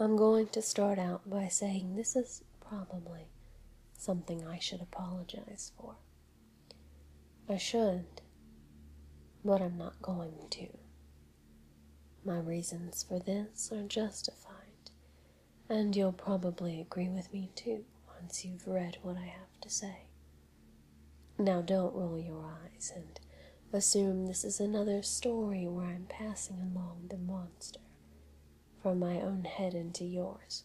I'm going to start out by saying this is probably something I should apologize for. I should, but I'm not going to. My reasons for this are justified, and you'll probably agree with me too once you've read what I have to say. Now don't roll your eyes and assume this is another story where I'm passing along the monster from my own head into yours.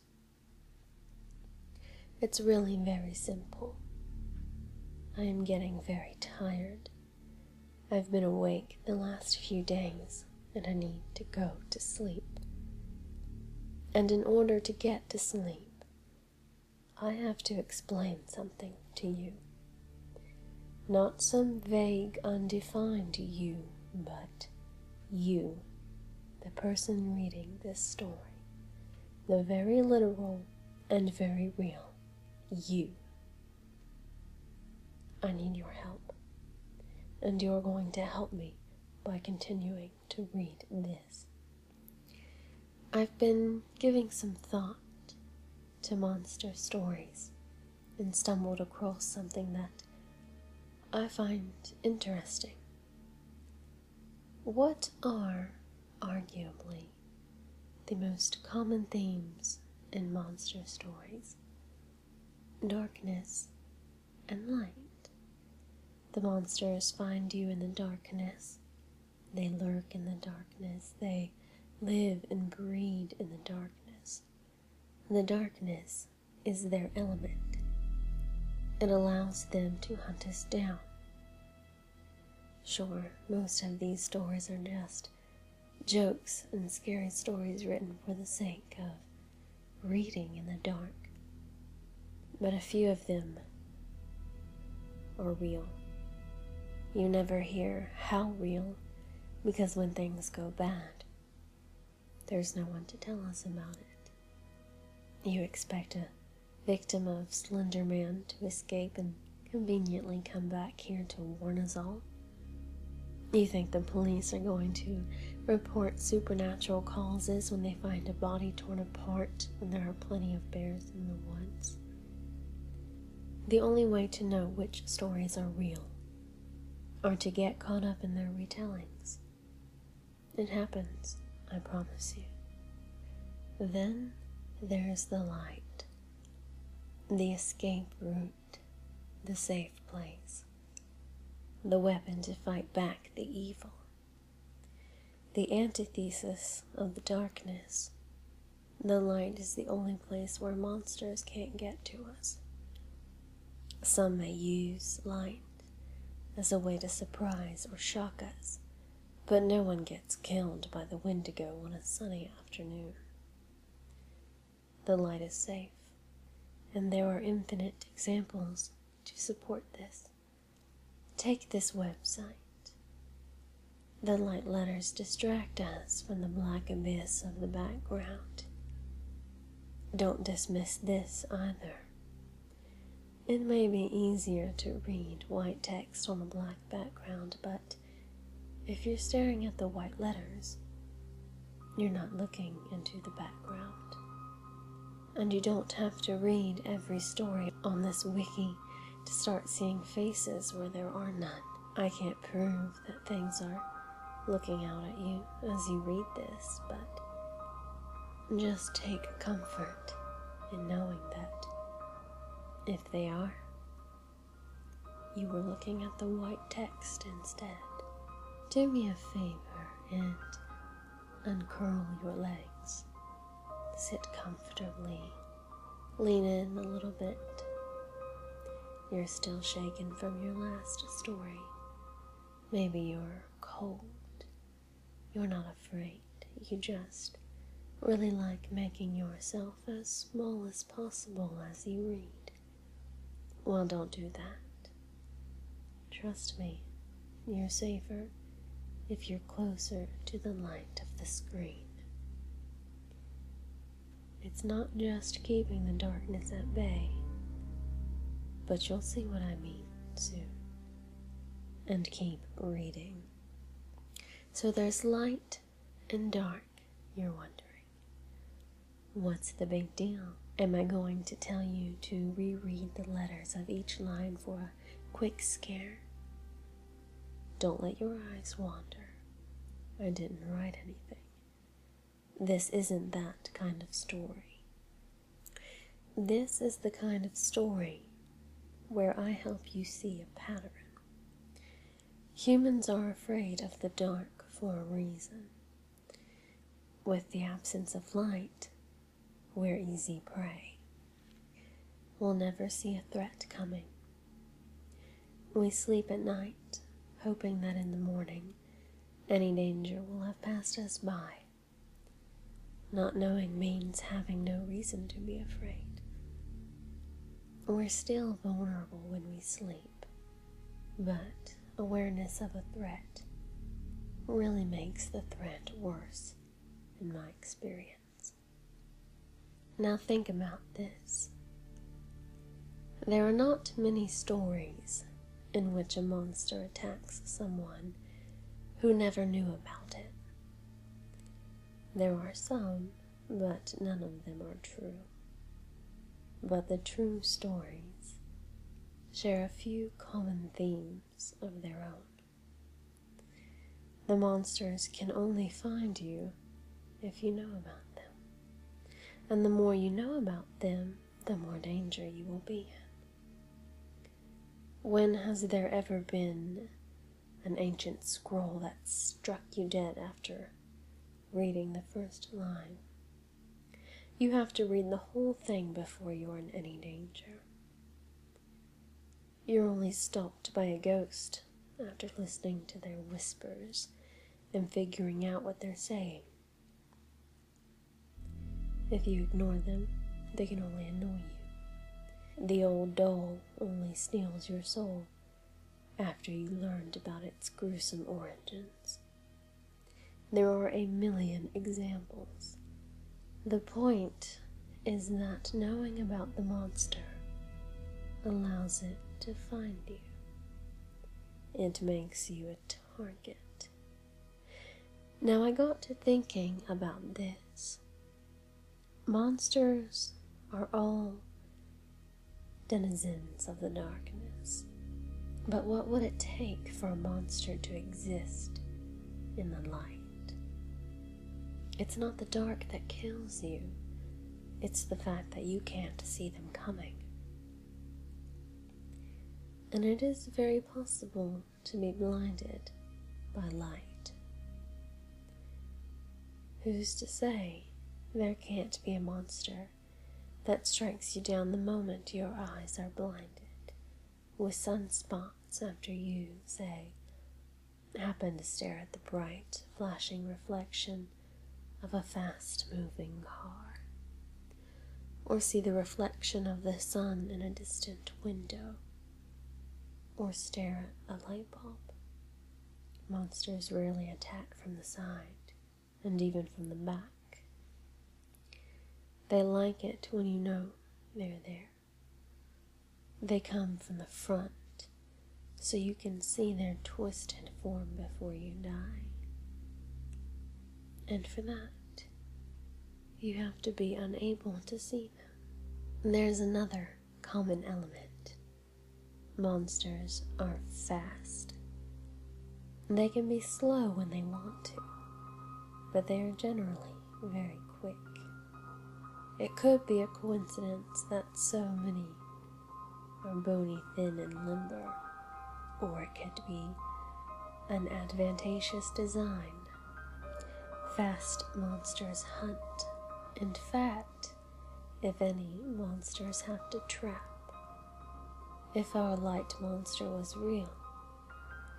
It's really very simple. I am getting very tired. I've been awake the last few days and I need to go to sleep. And in order to get to sleep, I have to explain something to you. Not some vague, undefined you, but you, the person reading this story. The very literal and very real you. I need your help, and you're going to help me by continuing to read this. I've been giving some thought to monster stories and stumbled across something that I find interesting. What are, arguably, the most common themes in monster stories? Darkness and light. The monsters find you in the darkness they lurk in the darkness. They live and breed in the darkness. The darkness is their element. It allows them to hunt us down. Sure, most of these stories are just jokes and scary stories written for the sake of reading in the dark. But a few of them or real. You never hear how real because when things go bad, there's no one to tell us about it. You expect a victim of Slender to escape and conveniently come back here to warn us all. You think the police are going to report supernatural causes when they find a body torn apart when there are plenty of bears in the woods? The only way to know which stories are real are to get caught up in their retellings. It happens, I promise you. Then there is the light, the escape route, the safe place, the weapon to fight back the evil, the antithesis of the darkness, the light is the only place where monsters can't get to us. Some may use light as a way to surprise or shock us, but no one gets killed by the Wendigo on a sunny afternoon. The light is safe, and there are infinite examples to support this. Take this website. The light letters distract us from the black abyss of the background. Don't dismiss this either. It may be easier to read white text on a black background, but if you're staring at the white letters, you're not looking into the background. And you don't have to read every story on this wiki to start seeing faces where there are none. I can't prove that things are looking out at you as you read this, but just take comfort in knowing that if they are, you were looking at the white text instead. Do me a favor and uncurl your legs. Sit comfortably Lean in a little bit. You're still shaken from your last story. Maybe you're cold. You're not afraid. You just really like making yourself as small as possible as you read. Well, don't do that. Trust me, you're safer if you're closer to the light of the screen. It's not just keeping the darkness at bay, but you'll see what I mean soon. And keep reading. So there's light and dark, you're wondering. What's the big deal? Am I going to tell you to reread the letters of each line for a quick scare? Don't let your eyes wander. I didn't write anything. This isn't that kind of story. This is the kind of story where I help you see a pattern. Humans are afraid of the dark for a reason. With the absence of light, we're easy prey. We'll never see a threat coming. We sleep at night, hoping that in the morning any danger will have passed us by. Not knowing means having no reason to be afraid. We're still vulnerable when we sleep, but awareness of a threat really makes the threat worse, in my experience. Now think about this. There are not many stories in which a monster attacks someone who never knew about it. There are some, but none of them are true. But the true stories share a few common themes of their own. The monsters can only find you if you know about them. And the more you know about them, the more danger you will be in. When has there ever been an ancient scroll that struck you dead after reading the first line? You have to read the whole thing before you are in any danger. You're only stopped by a ghost after listening to their whispers and figuring out what they're saying. If you ignore them, they can only annoy you. The old doll only steals your soul after you learned about its gruesome origins. There are a million examples the point is that knowing about the monster allows it to find you. It makes you a target. Now I got to thinking about this. Monsters are all denizens of the darkness. But what would it take for a monster to exist in the light? It's not the dark that kills you, it's the fact that you can't see them coming. And it is very possible to be blinded by light. Who's to say there can't be a monster that strikes you down the moment your eyes are blinded with sunspots after you, say, happen to stare at the bright, flashing reflection of a fast moving car, or see the reflection of the sun in a distant window, or stare at a light bulb. Monsters rarely attack from the side and even from the back. They like it when you know they're there. They come from the front so you can see their twisted form before you die. And for that, you have to be unable to see them. There's another common element monsters are fast. They can be slow when they want to, but they are generally very quick. It could be a coincidence that so many are bony, thin, and limber, or it could be an advantageous design. Fast monsters hunt. In fact, if any, monsters have to trap. If our light monster was real,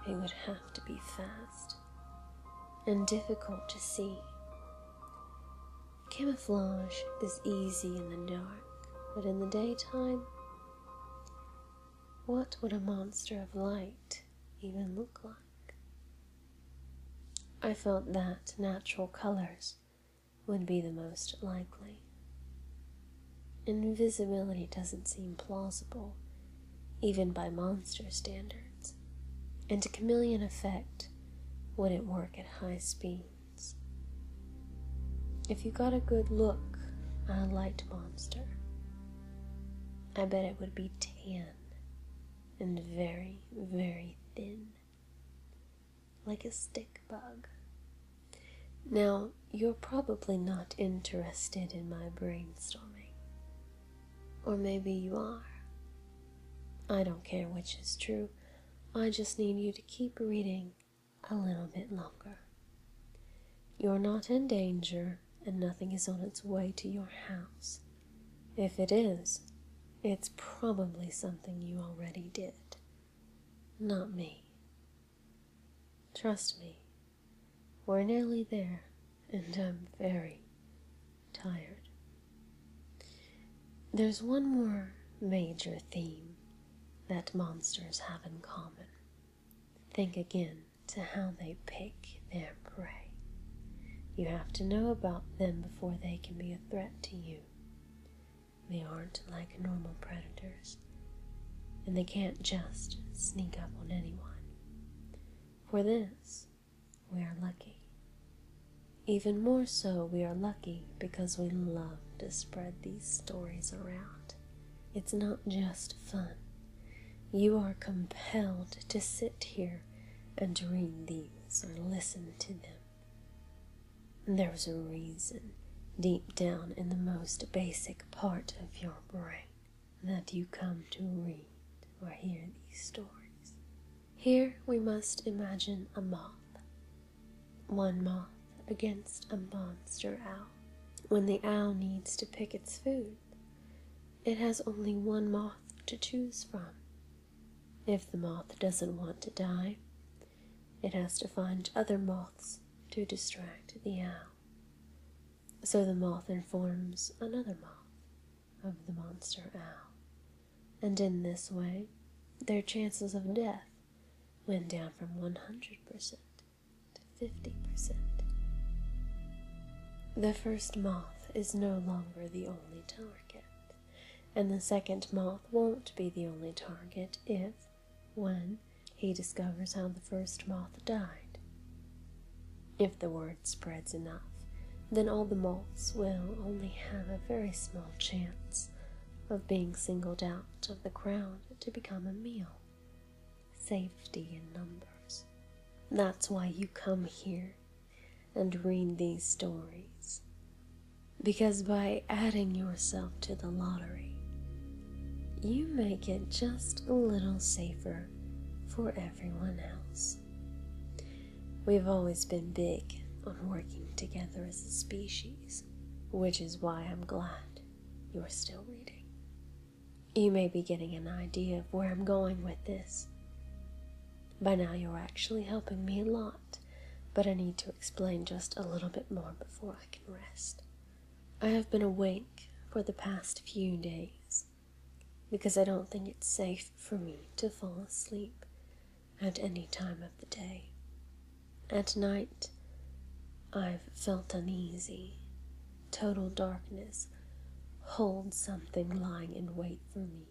it would have to be fast and difficult to see. Camouflage is easy in the dark, but in the daytime, what would a monster of light even look like? I felt that natural colors would be the most likely. Invisibility doesn't seem plausible even by monster standards, and a chameleon effect would it work at high speeds. If you got a good look on a light monster, I bet it would be tan and very, very thin, like a stick bug. Now, you're probably not interested in my brainstorming, or maybe you are. I don't care which is true. I just need you to keep reading a little bit longer. You're not in danger, and nothing is on its way to your house. If it is, it's probably something you already did. Not me. Trust me, we're nearly there, and I'm very tired. There's one more major theme that monsters have in common. Think again to how they pick their prey. You have to know about them before they can be a threat to you. They aren't like normal predators, and they can't just sneak up on anyone. For this, we are lucky. Even more so, we are lucky because we love to spread these stories around. It's not just fun. You are compelled to sit here and read these or listen to them. There's a reason deep down in the most basic part of your brain that you come to read or hear these stories. Here we must imagine a moth, one moth against a monster owl. When the owl needs to pick its food, it has only one moth to choose from. If the moth doesn't want to die, it has to find other moths to distract the owl. So the moth informs another moth of the monster owl, and in this way, their chances of death went down from 100% to 50%. The first moth is no longer the only target, and the second moth won't be the only target if, when, he discovers how the first moth died. If the word spreads enough, then all the moths will only have a very small chance of being singled out of the crowd to become a meal. Safety in numbers. That's why you come here and read these stories. Because by adding yourself to the lottery, you make it just a little safer for everyone else. We've always been big on working together as a species, which is why I'm glad you're still reading. You may be getting an idea of where I'm going with this. By now, you're actually helping me a lot, but I need to explain just a little bit more before I can rest. I have been awake for the past few days, because I don't think it's safe for me to fall asleep at any time of the day. At night, I've felt uneasy. Total darkness holds something lying in wait for me,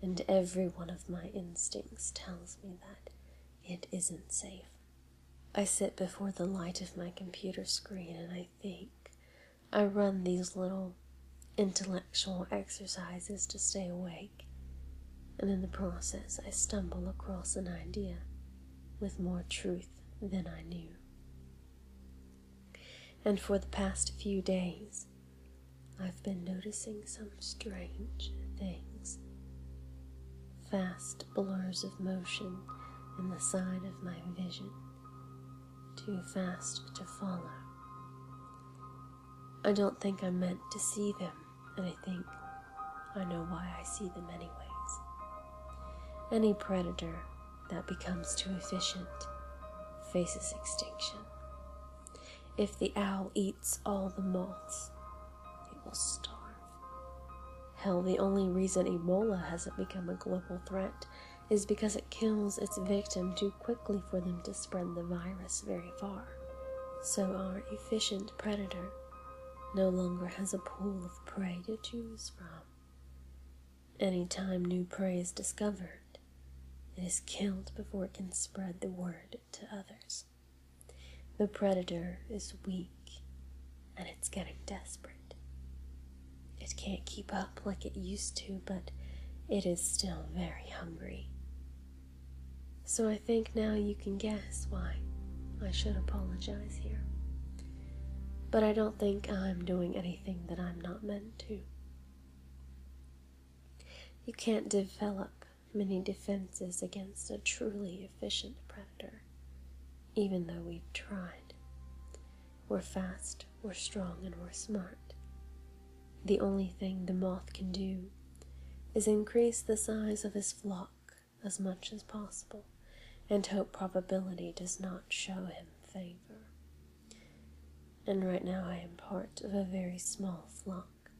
and every one of my instincts tells me that it isn't safe. I sit before the light of my computer screen and I I think. I run these little intellectual exercises to stay awake, and in the process, I stumble across an idea with more truth than I knew. And for the past few days, I've been noticing some strange things. Fast blurs of motion in the side of my vision too fast to follow. I don't think I'm meant to see them, and I think I know why I see them anyways. Any predator that becomes too efficient faces extinction. If the owl eats all the moths, it will starve. Hell, the only reason Ebola hasn't become a global threat is because it kills its victim too quickly for them to spread the virus very far. So our efficient predator no longer has a pool of prey to choose from. Any time new prey is discovered, it is killed before it can spread the word to others. The predator is weak and it's getting desperate. It can't keep up like it used to, but it is still very hungry. So I think now you can guess why I should apologize here. But I don't think I'm doing anything that I'm not meant to. You can't develop many defenses against a truly efficient predator even though we've tried. We're fast, we're strong, and we're smart. The only thing the moth can do is increase the size of his flock as much as possible and hope probability does not show him favor. And right now I am part of a very small flock,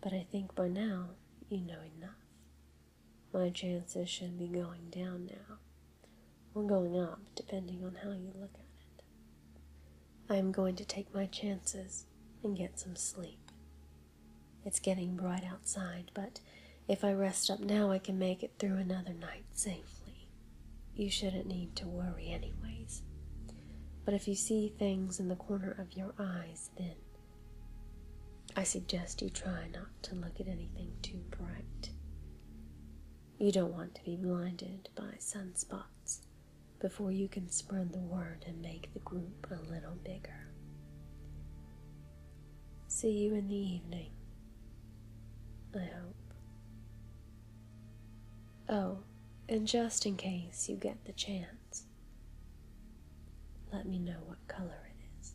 but I think by now you know enough. My chances should be going down now, or going up, depending on how you look at it. I am going to take my chances and get some sleep. It's getting bright outside, but if I rest up now, I can make it through another night safely. You shouldn't need to worry, anyways. But if you see things in the corner of your eyes, then I suggest you try not to look at anything too bright. You don't want to be blinded by sunspots before you can spread the word and make the group a little bigger. See you in the evening, I hope. Oh, and just in case you get the chance, let me know what color it is.